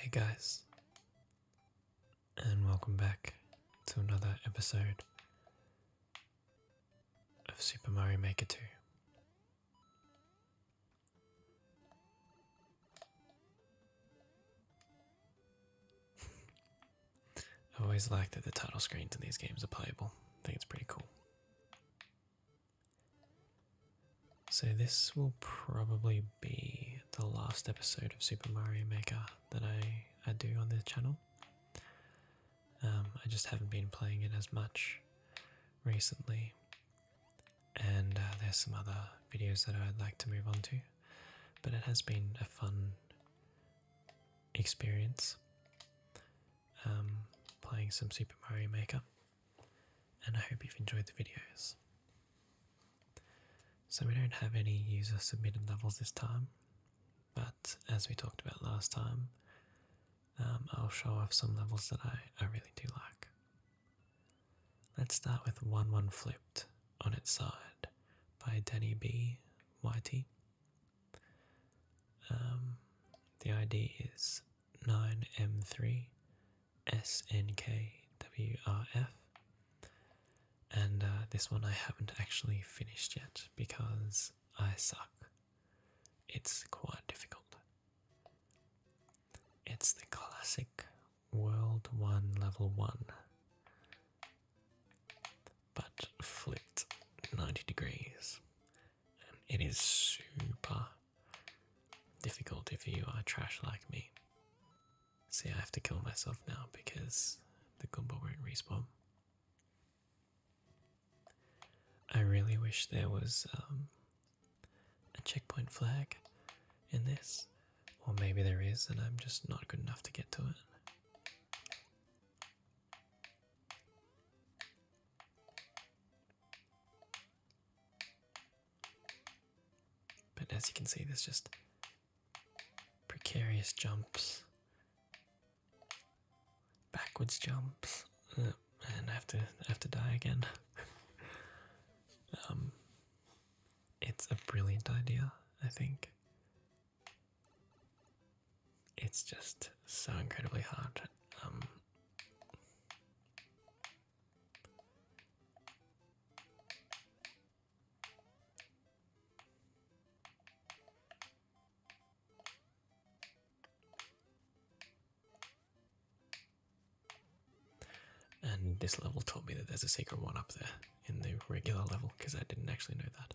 Hey guys, and welcome back to another episode of Super Mario Maker 2. I always like that the title screens in these games are playable. I think it's pretty cool. So this will probably be the last episode of Super Mario Maker that I, I do on this channel. Um, I just haven't been playing it as much recently. And uh, there's some other videos that I'd like to move on to, but it has been a fun experience um, playing some Super Mario Maker, and I hope you've enjoyed the videos. So, we don't have any user submitted levels this time, but as we talked about last time, um, I'll show off some levels that I, I really do like. Let's start with 1 1 Flipped on its side by Denny B Y T. Um, the ID is 9M3SNKWRF. And uh, this one I haven't actually finished yet because I suck it's quite difficult. It's the classic World 1 Level 1, but flipped 90 degrees. it is super difficult for you are trash like me. See, I have to kill myself now because the gumball won't respawn. I really wish there was um, a checkpoint flag in this, or maybe there is, and I'm just not good enough to get to it. But as you can see, there's just precarious jumps backwards jumps, uh, and have to have to die again. Um, it's a brilliant idea, I think. It's just so incredibly hard. Um, and this level taught me that there's a secret one up there in the regular level because I didn't actually know that.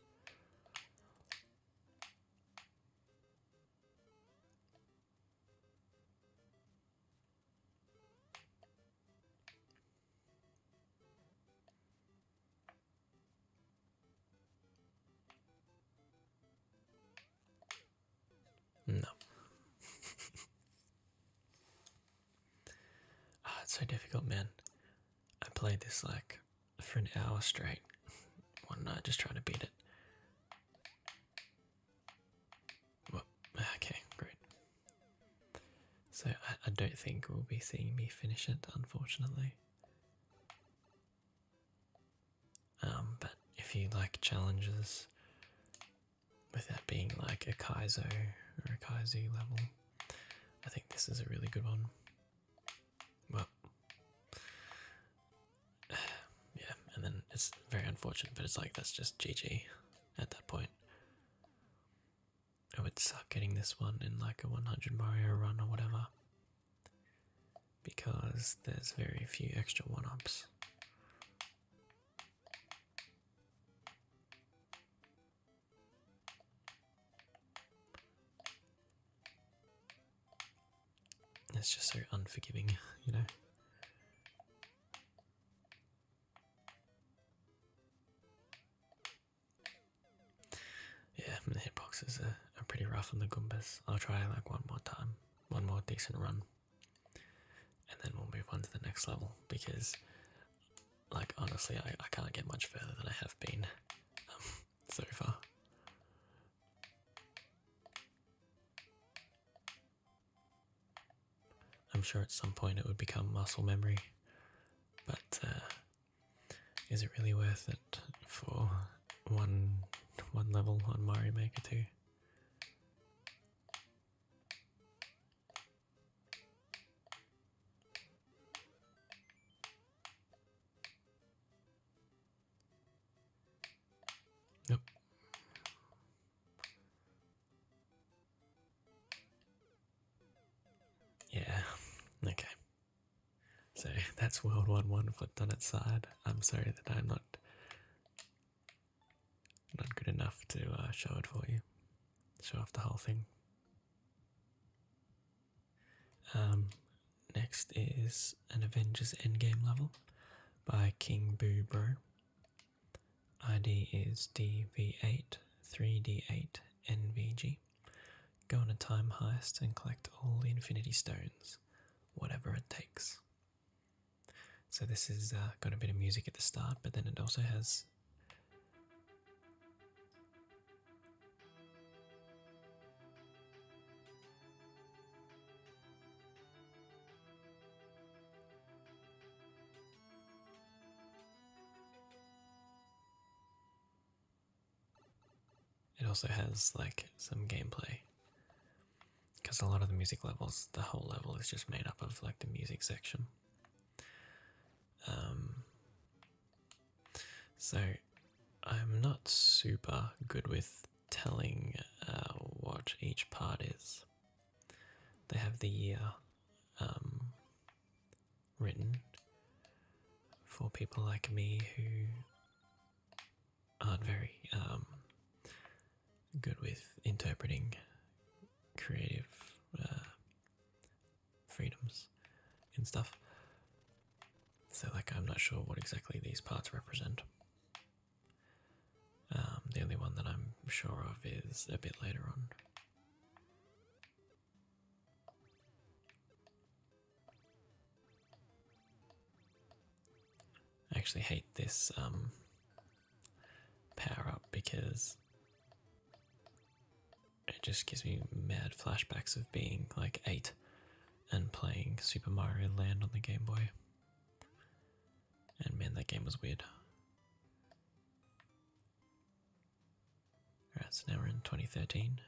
No. oh, it's so difficult, man. I played this like for an hour straight one night just trying to beat it. Ah, okay, great. So I don't think we'll be seeing me finish it, unfortunately. Um, but if you like challenges without being like a Kaizo or a Kaizu level, I think this is a really good one. Well, yeah, and then it's very unfortunate, but it's like that's just GG at that point. It would suck getting this one in like a 100 Mario run or whatever because there's very few extra one ups. It's just so unforgiving, you know. Yeah, I mean, the hitboxes are, pretty rough on the Goombas. I'll try like one more time, one more decent run, and then we'll move on to the next level because, like, honestly, I, I can't get much further than I have been um, so far. I'm sure at some point it would become muscle memory, but uh, is it really worth it for one one level on Mario Maker 2? Nope. Yeah, okay. So that's World One One flipped on its side. I'm sorry that I'm not not good enough to uh, show it for you, show off the whole thing. Um, next is an Avengers Endgame level by King Boo Bro. ID is DV8 3D8 NVG. Go on a time heist and collect all the Infinity Stones, whatever it takes. So, this has uh, got a bit of music at the start, but then it also has. It also has like some gameplay because a lot of the music levels, the whole level is just made up of like the music section. Um, so I'm not super good with telling uh, what each part is. They have the year um, written for people like me who aren't very um, good with interpreting creative uh, freedoms and stuff. So, like, I'm not sure what exactly these parts represent. Um, the only one that I'm sure of is a bit later on. I actually hate this um, power up because it just gives me mad flashbacks of being like eight and playing Super Mario Land on the Game Boy. And man, that game was weird. Alright, so now we're in 2013.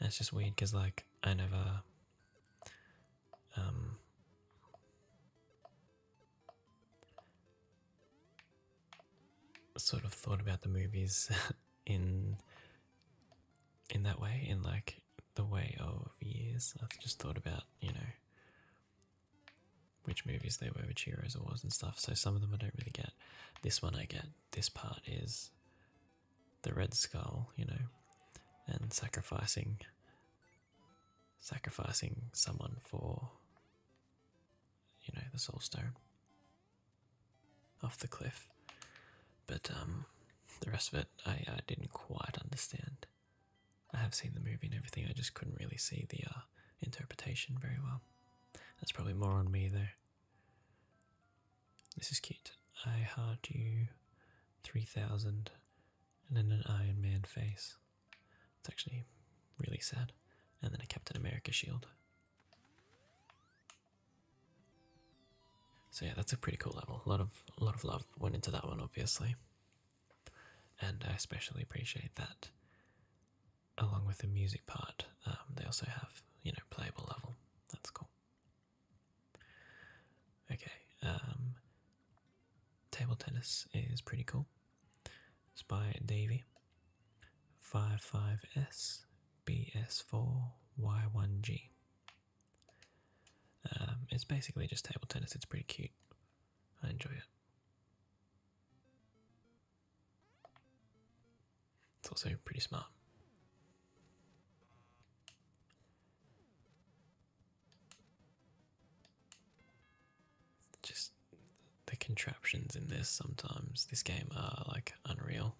That's just weird because, like, I never. Um, sort of thought about the movies in in that way in like the way of years i've just thought about you know which movies they were which heroes it was and stuff so some of them i don't really get this one i get this part is the Red Skull, you know, and sacrificing sacrificing someone for you know the soul stone off the cliff but um the rest of it I, I didn't quite understand i have seen the movie and everything i just couldn't really see the uh, interpretation very well that's probably more on me though this is cute. I heart you 3000 and then an Iron Man face. It's actually really sad. And then a Captain America shield. So yeah, that's a pretty cool level. A lot of a lot of love went into that one obviously. And I especially appreciate that along with the music part, um, they also have you know playable level. That's cool. Okay, um, table tennis is pretty cool. It's by Davy. 55S BS4Y1G. Um, it's basically just table tennis. It's pretty cute. I enjoy it. It's also pretty smart. Just the contraptions in this sometimes, this game are like unreal.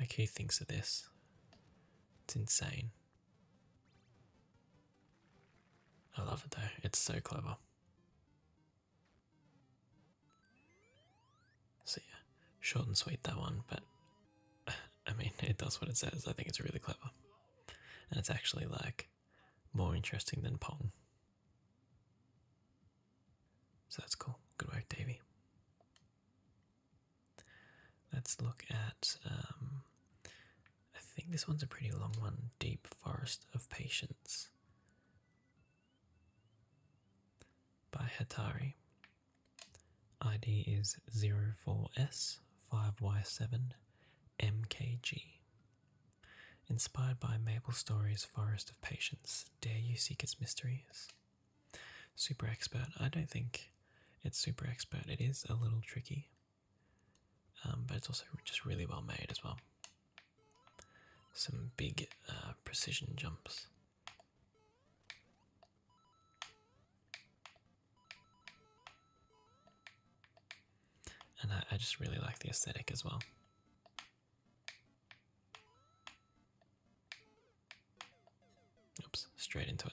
Like, he thinks of this? It's insane. I love it though, it's so clever. So, yeah, short and sweet that one, but I mean, it does what it says. I think it's really clever. And it's actually like more interesting than Pong. So that's cool. Good work, Davy. Let's look at. Um, I think this one's a pretty long one. Deep Forest of Patience by Hatari. ID is 04S5Y7MKG. Inspired by Mabel Story's Forest of Patience, dare you seek its mysteries? Super expert. I don't think it's super expert. It is a little tricky, um, but it's also just really well made as well. Some big uh, precision jumps. And I, I just really like the aesthetic as well. Oops, straight into it.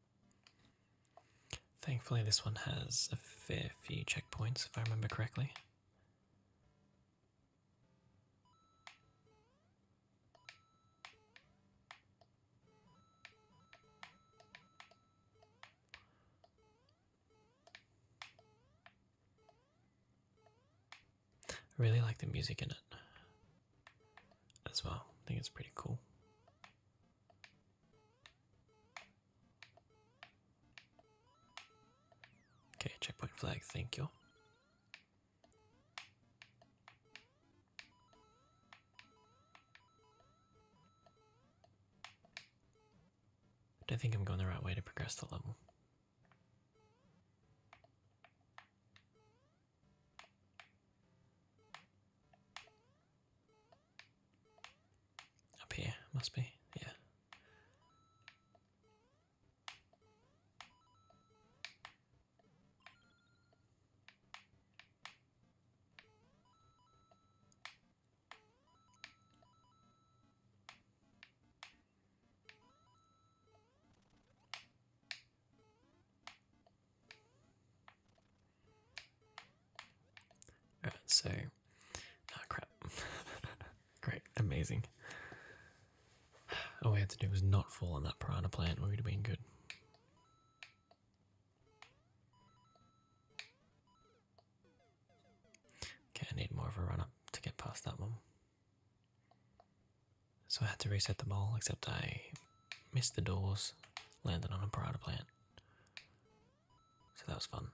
Thankfully, this one has a fair few checkpoints, if I remember correctly. I really like the music in it as well. I think it's pretty cool. Okay, checkpoint flag, thank you. But I think I'm going the right way to progress the level. Up here, must be, yeah. Alright, so oh crap. Great, amazing. All we had to do was not fall on that piranha plant, we would have been good. Okay, I need more of a run up to get past that one. So I had to reset the ball, except I missed the doors, landed on a piranha plant. So that was fun.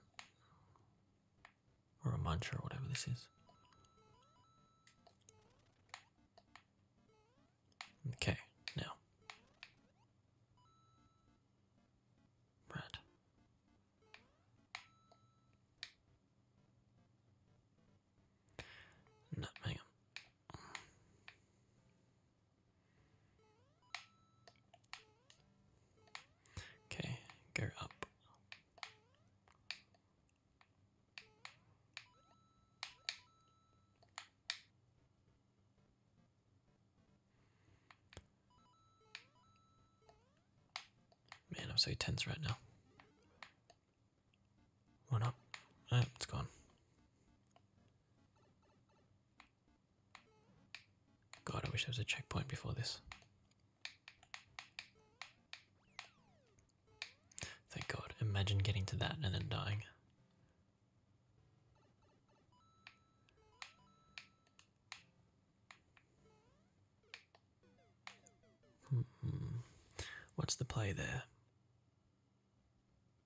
Or a mantra, or whatever this is. Okay, now. Bread. No, Okay, go up. Man, I'm so tense right now. One up. Oh, it's gone. God, I wish there was a checkpoint before this. Thank God. Imagine getting to that and then dying. Hmm. What's the play there?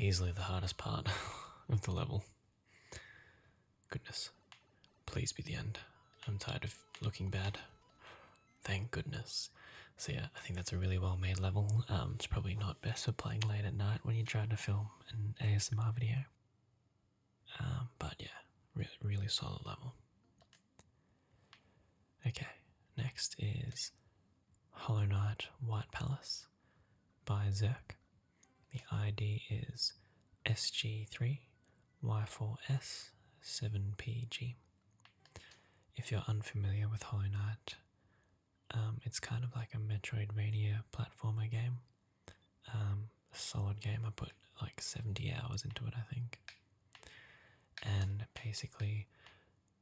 Easily the hardest part of the level. Goodness. Please be the end. I'm tired of looking bad thank goodness. So yeah, I think that's a really well-made level. Um, it's probably not best for playing late at night when you're trying to film an ASMR video. Um, but yeah, really, really solid level. Okay, next is Hollow Knight White Palace by Zerk. The ID is SG3Y4S7PG. If you're unfamiliar with Hollow Knight, um, it's kind of like a Metroidvania platformer game. Um, a solid game. I put like 70 hours into it, I think. And basically,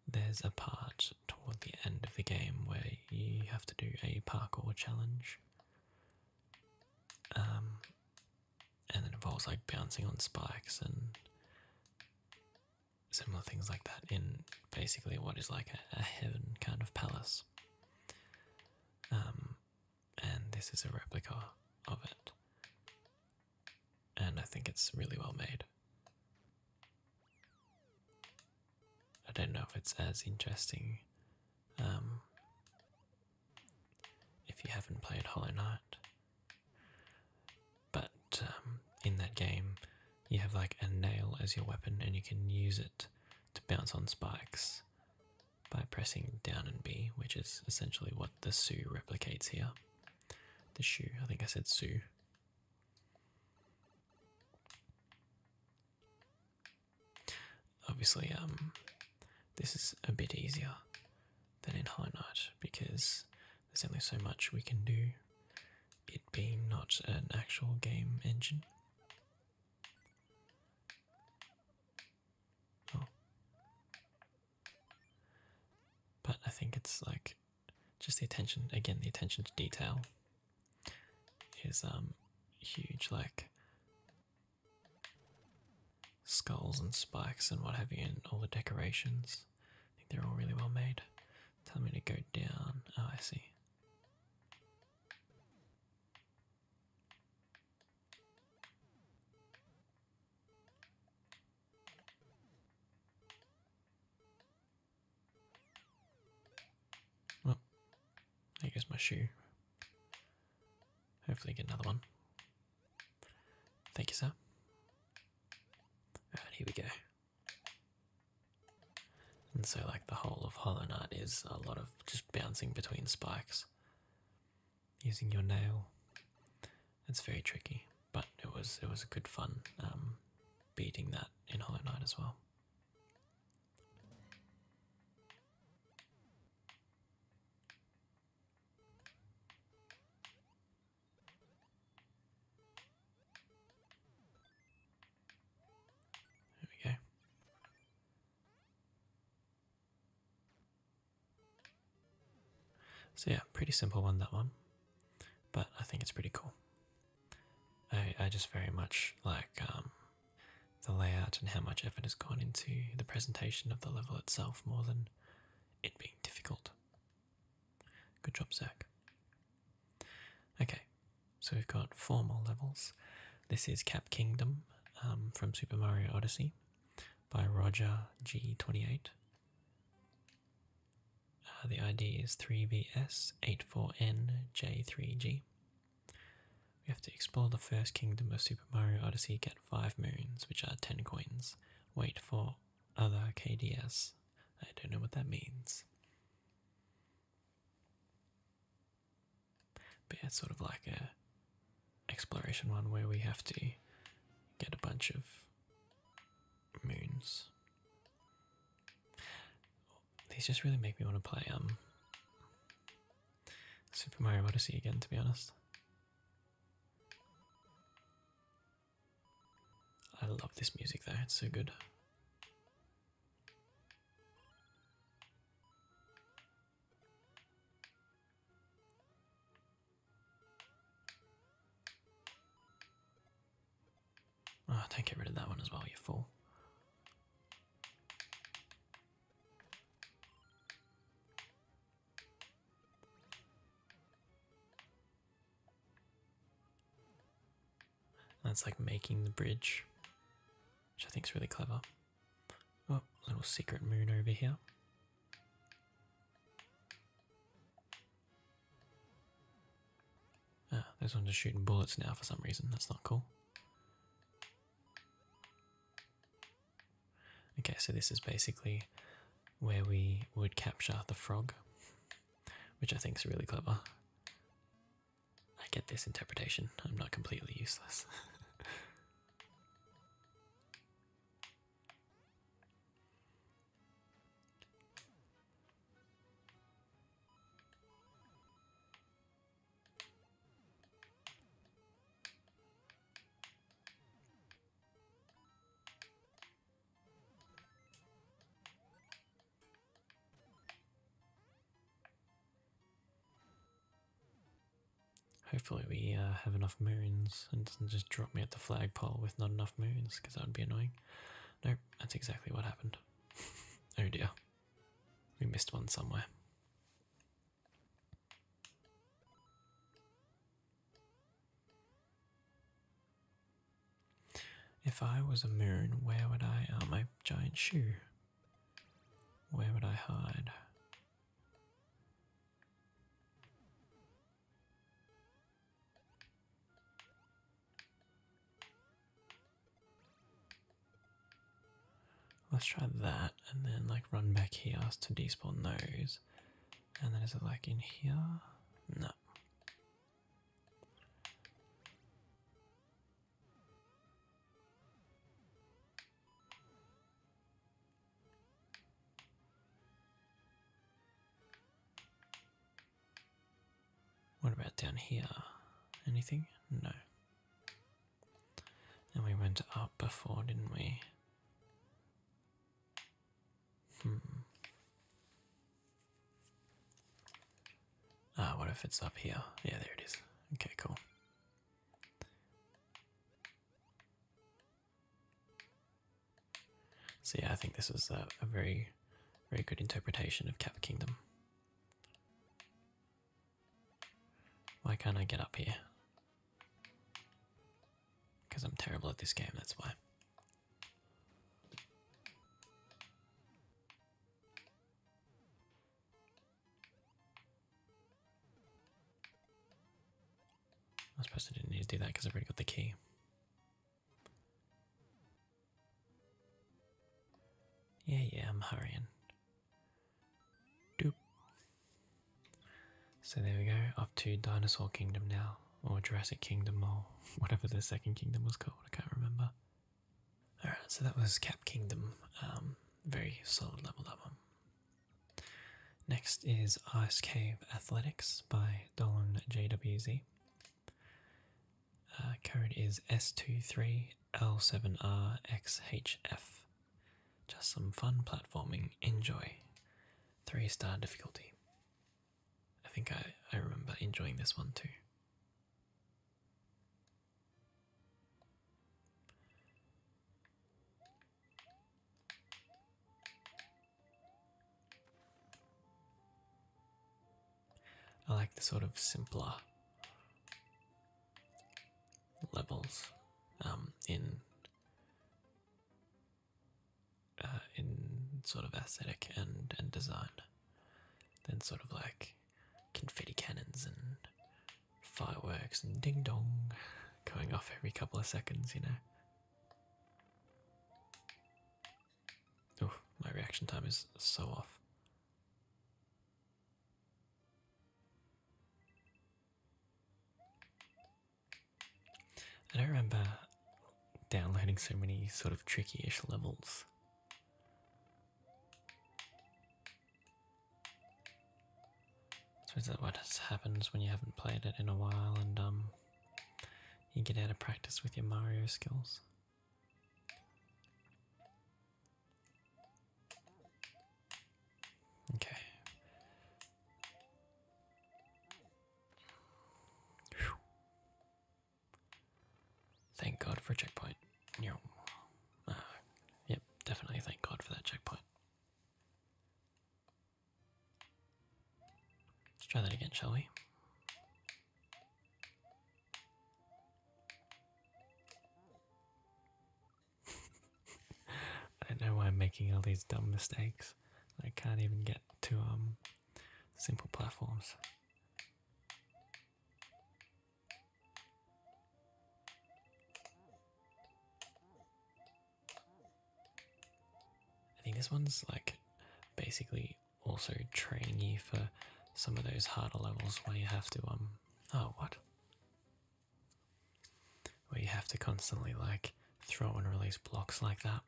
there's a part toward the end of the game where you have to do a parkour challenge. Um, and it involves like bouncing on spikes and similar things like that in basically what is like a, heaven kind of palace. Um, and this is a replica of it, and I think it's really well made. I don't know if it's as interesting. Um, if you haven't played Hollow Knight, but um, in that game, you have like a nail as your weapon, and you can use it to bounce on spikes by pressing down and B, which is essentially what the shoe replicates here. The shoe, I think I said shoe. Obviously, um, this is a bit easier than in High Note because there's only so much we can do, it being not an actual game engine. Oh. But I think it's like just the attention again, the attention to detail is um huge like skulls and spikes and what have you, and all the decorations. I think they're all really well made. Tell me to go down. Oh, I see. Well, there goes my shoe. Hopefully, get another one. Thank you, sir. Alright, here we go. And so, like, the whole of Hollow Knight is a lot of just bouncing between spikes using your nail. It's very tricky, but it was it was a good fun um, beating that in Hollow Knight as well. There we go. So yeah, pretty simple one that one, but I think it's pretty cool. I, I just very much like um, the layout and how much effort has gone into the presentation of the level itself more than it being difficult. Good job, Zach. Okay, so we've got four more levels. This is Cap Kingdom um, from Super Mario Odyssey by Roger G28. Uh, the ID is 3VS84NJ3G. We have to explore the first kingdom of Super Mario Odyssey, get 5 moons, which are 10 coins. Wait for other KDS. I don't know what that means. But it's sort of like a exploration one where we have to get a bunch of moons. These just really make me want to play um Super Mario Odyssey again to be honest. I love this music There, it's so good. Oh, don't rid of that one as well, you fool. That's like making the bridge, which I think is really clever. Oh, little secret moon over here. Ah, this one's just shooting bullets now for some reason. That's not cool. Okay, so this is basically where we would capture the frog, which I think is really clever. I get this interpretation, I'm not completely useless. Hopefully we uh, have enough moons and doesn't just drop me at the flagpole with not enough moons because that would be annoying. No, that's exactly what happened. oh dear. We missed one somewhere. If I was a moon, where would I are oh, my giant shoe? Where would I hide? Let's try that and then like run back here to despawn those and then is it like in here? No. What about down here? Anything? No. And we went up before, didn't we? Hmm. Ah, what if it's up here? Yeah, there it is. Okay, cool. So yeah, I think this was a, very, very good interpretation of Cap Kingdom. Why can't I get up here? Because I'm terrible at this game, that's why. I suppose I didn't need to do that because I've already got the key. Yeah, yeah, I'm hurrying. Doop. So there we go, Off to Dinosaur Kingdom now, or Jurassic Kingdom, or whatever the second kingdom was called, I can't remember. Alright, so that was Cap Kingdom, um, very solid level that Next is Ice Cave Athletics by Dolan JWZ. Uh, code is s two three l 7 rxhf Just some fun platforming, enjoy. Three star difficulty. I think I, I remember enjoying this one too. I like the sort of simpler levels um, in uh, in sort of aesthetic and and design than sort of like confetti cannons and fireworks and ding dong going off every couple of seconds, you know. Oh, my reaction time is so off. I don't remember downloading so many sort of tricky-ish levels. I suppose that's what happens when you haven't played it in a while and um, you get out of practice with your Mario skills. Okay. Thank God for checkpoint. Ah, yep, definitely thank God for that checkpoint. Let's try that again, shall we? I don't know why I'm making all these dumb mistakes. I can't even get to um simple platforms. I think this one's like basically also training you for some of those harder levels where you have to um oh what where you have to constantly like throw and release blocks like that.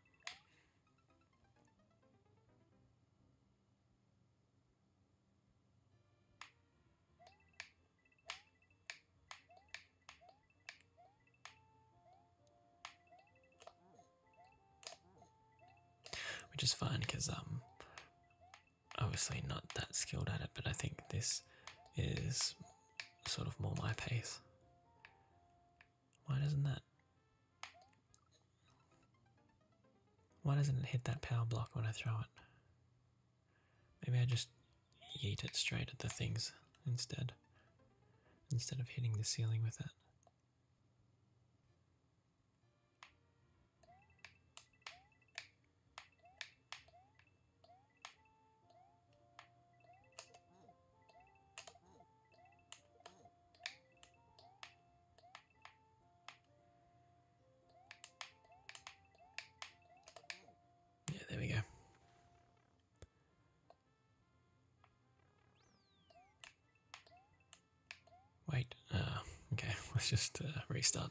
Which is fine because I'm um, obviously not that skilled at it, but I think this is sort of more my pace. Why doesn't that? Why doesn't it hit that power block when I throw it? Maybe I just yeet it straight at the things instead, instead of hitting the ceiling with it. Yeah, there we go. Wait, uh, okay, let's just uh, restart.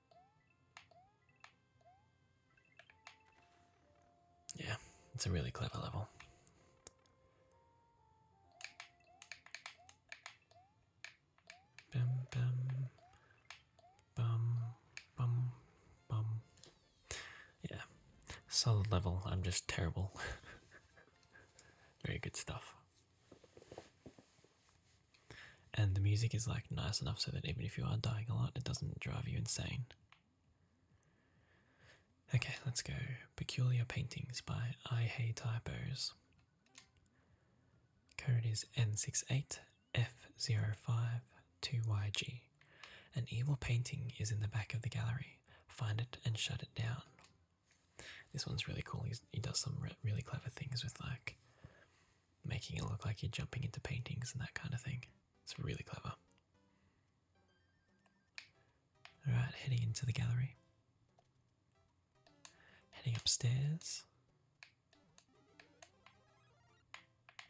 Yeah, it's a really clever level. Bum bum bum bum bum. Yeah, solid level. I'm just terrible. Very good stuff and the music is like nice enough so that even if you are dying a lot, it doesn't drive you insane. Okay, let's go. Peculiar Paintings by I Hate Typos. Code is N68F052YG. An evil painting is in the back of the gallery. Find it and shut it down. This one's really cool. He's, he does some really clever things with like making it look like you're jumping into paintings and that kind of thing. It's really clever. Alright, heading into the gallery. Heading upstairs.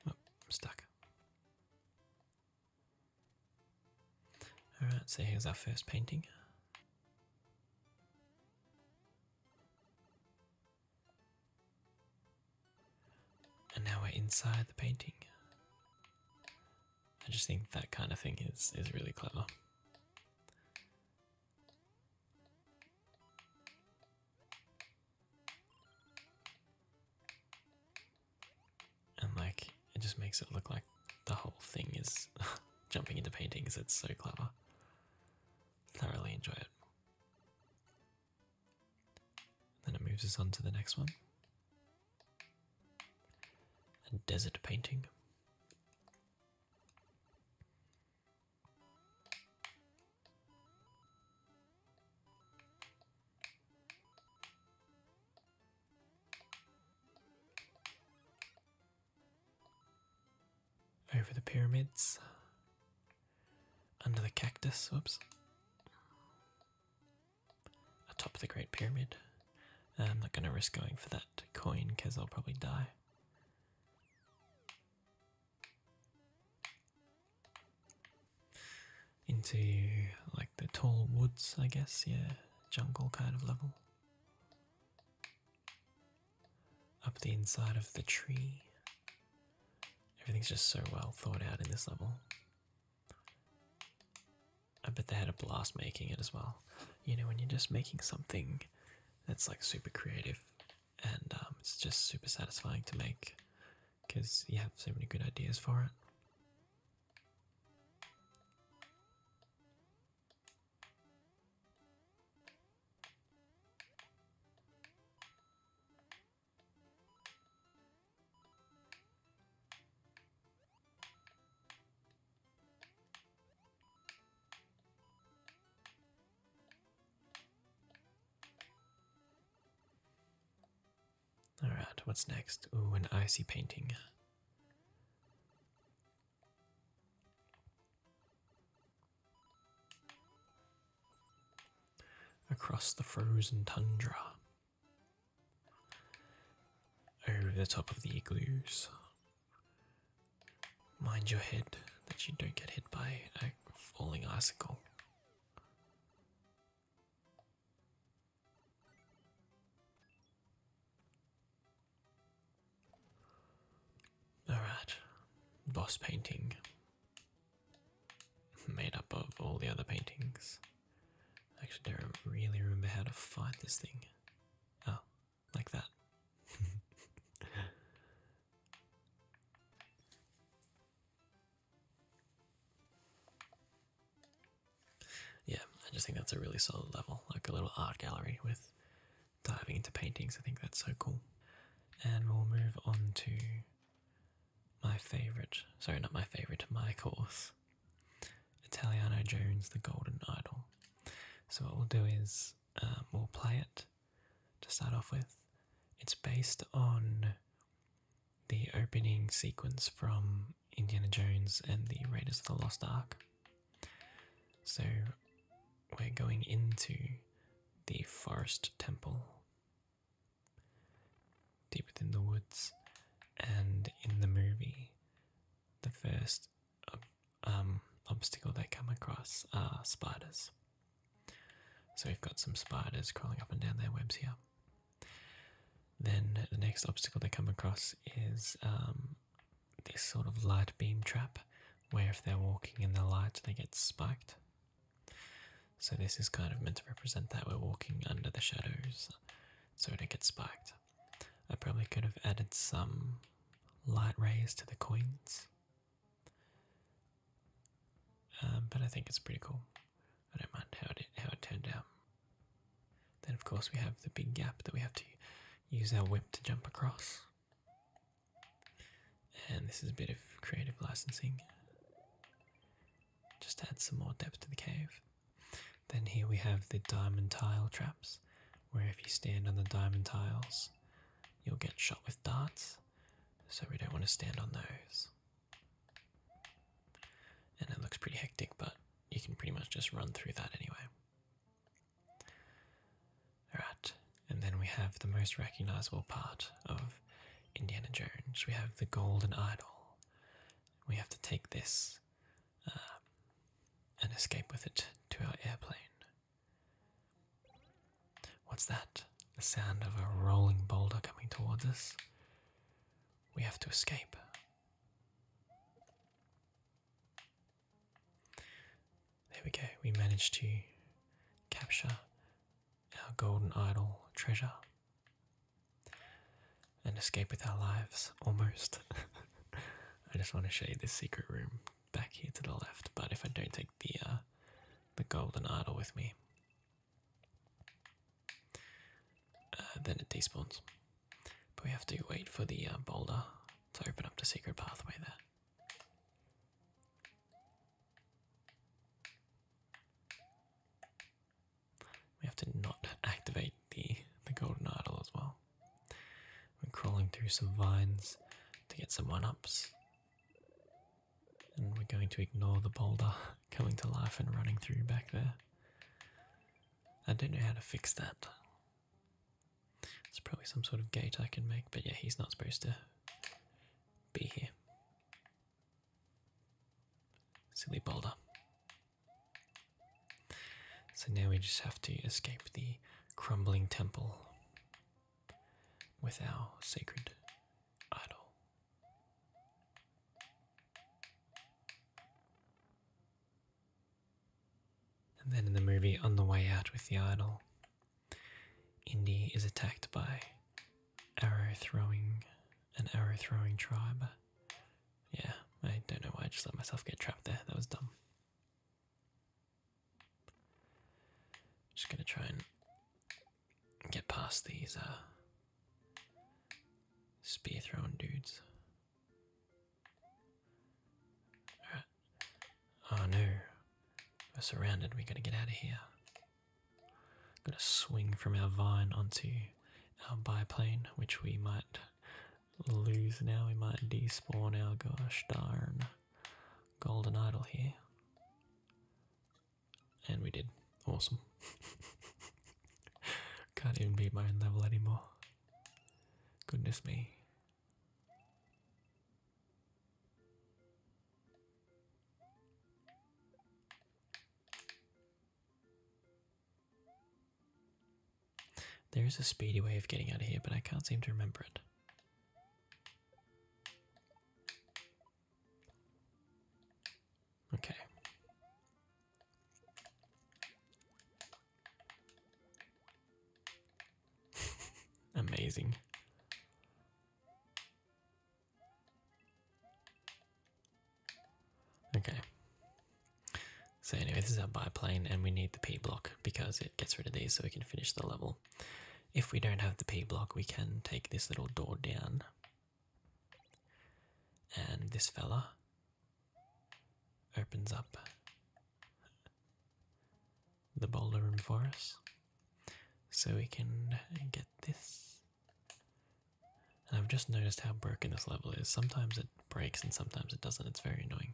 Oh, I'm stuck. Alright, so here's our first painting. And now we're inside the painting. I just think that kind of thing is is really clever. And like it just makes it look like the whole thing is jumping into paintings. It's so clever. Thoroughly enjoy it then it moves us on to the next one. a desert painting over the pyramids, under the cactus, whoops, atop the Great Pyramid. Uh, I'm not going to risk going for that coin because I'll probably die. Into like the tall woods, I guess, yeah, jungle kind of level. Up the inside of the tree. Everything's just so well thought out in this level. I bet they had a blast making it as well. You know, when you're just making something that's like super creative and um, it's just super satisfying to make because you have so many good ideas for it. All right, what's next? Ooh, an icy painting across the frozen tundra, over the top of the igloos. Mind your head that you don't get hit by a falling icicle. Alright, boss painting made up of all the other paintings. I actually don't really remember how to fight this thing. Oh, like that. yeah, I just think that's a really solid level, like a little art gallery with diving into paintings. I think that's so cool. And we'll move on to my favourite, sorry, not my favourite, my course, Italiano Jones, The Golden Idol. So, what we'll do is um, we'll play it to start off with. It's based on the opening sequence from Indiana Jones and the Raiders of the Lost Ark. So, we're going into the forest temple Deep within the woods, and in the movie, the first um, obstacle they come across are spiders. So we've got some spiders crawling up and down their webs here. Then the next obstacle they come across is um, this sort of light beam trap, where if they're walking in the light, they get spiked. So this is kind of meant to represent that we're walking under the shadows so we do get spiked. I probably could have added some light rays to the coins. Um, but I think it's pretty cool. I don't mind how it how it turned out. Then of course we have the big gap that we have to use our whip to jump across. And this is a bit of creative licensing. Just add some more depth to the cave. Then here we have the diamond tile traps, where if you stand on the diamond tiles, you'll get shot with darts. So we don't want to stand on those. And it looks pretty hectic, but you can pretty much just run through that anyway. Right, and then we have the most recognizable part of Indiana Jones. We have the golden idol. We have to take this um, and escape with it to our airplane. What's that? The sound of a rolling boulder coming towards us. We have to escape. There we go, we managed to capture our golden idol treasure and escape with our lives almost. I just want to show you this secret room back here to the left, but if I don't take the uh, the golden idol with me, uh, then it despawns. But we have to wait for the uh, boulder to open up the secret pathway there. We have to not activate the the golden idol as well. We're crawling through some vines to get some one-ups. And we're going to ignore the boulder coming to life and running through back there. I don't know how to fix that. It's probably some sort of gate I can make, but yeah, he's not supposed to be here. Silly boulder. So now we just have to escape the crumbling temple with our sacred idol. And then in the movie, on the way out with the idol, Indy is attacked by arrow throwing an arrow throwing tribe. Yeah, I don't know why I just let myself get trapped there. That was dumb. Just gonna try and get past these uh, spear throwing dudes. Alright. Oh no. We're surrounded, we gotta get out of here. I'm going to swing from our vine onto our biplane, which we might lose now. We might despawn our gosh darn golden idol here. And we did. Awesome. Can't even beat my own level anymore. Goodness me. There's a speedy way of getting out of here, but I can't seem to remember it. Okay. Amazing. Okay. So anyway, this is our biplane, and we need the P block because it gets rid of these so we can finish the level. If we don't have the P block, we can take this little door down. And this fella opens up the boulder room for us so we can get this. And I've just noticed how broken this level is. Sometimes it breaks and sometimes it doesn't. It's very annoying.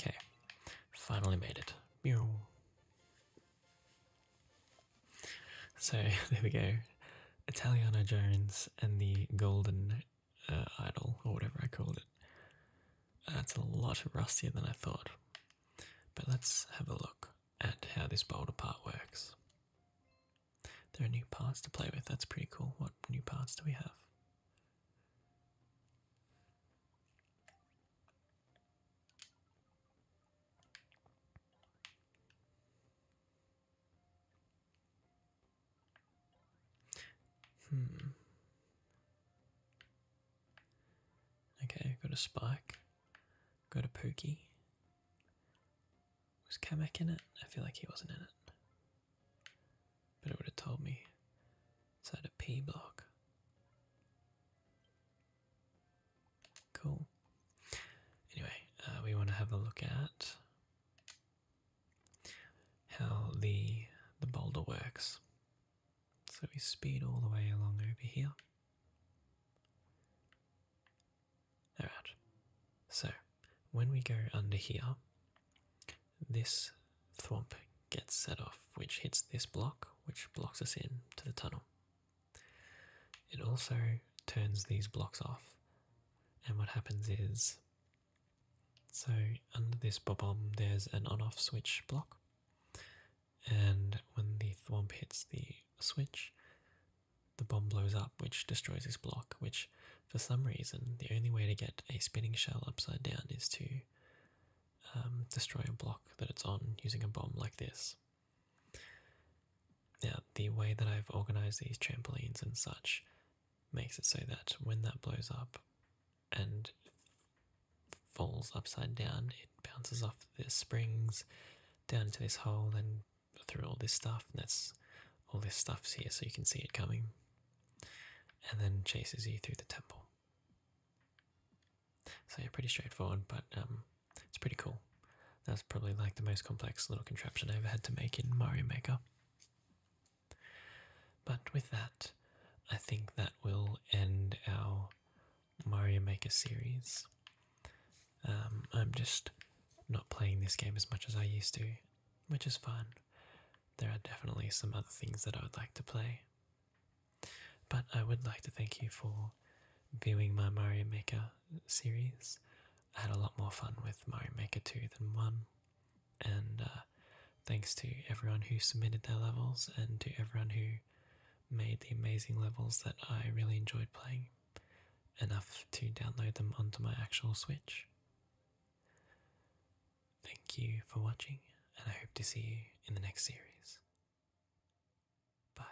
Okay, finally made it. So there we go. Italiano Jones and the Golden uh, Idol, or whatever I called it. That's uh, a lot rustier than I thought. But let's have a look at how this boulder part works. There are new parts to play with, that's pretty cool. What new parts do we have? Hmm. Okay, got a spike. Got a Pookie. Was Kamek in it? I feel like he wasn't in it. But it would have told me. It's had a P block. Cool. Anyway, uh, we want to have a look at how the the boulder works. So we speed all the way along over here. Alright, so when we go under here, this thump gets set off, which hits this block, which blocks us in to the tunnel. It also turns these blocks off, and what happens is so under this bob there's an on-off switch block and when the thwomp hits the switch, the bomb blows up, which destroys this block. Which, for some reason, the only way to get a spinning shell upside down is to um, destroy a block that it's on using a bomb like this. Now, the way that I've organized these trampolines and such makes it so that when that blows up and falls upside down, it bounces off the springs down into this hole and through all this stuff. And that's all this stuff's here, so you can see it coming. And then chases you through the temple. So you're pretty straightforward, but um, it's pretty cool. That's probably like the most complex little contraption I ever had to make in Mario Maker. But with that, I think that will end our Mario Maker series. Um, I'm just not playing this game as much as I used to, which is fine. There are definitely some other things that I would like to play. But I would like to thank you for viewing my Mario Maker series. I had a lot more fun with Mario Maker 2 than 1, and uh, thanks to everyone who submitted their levels and to everyone who made the amazing levels that I really enjoyed playing, enough to download them onto my actual Switch. Thank you for watching, and I hope to see you in the next series. Bye.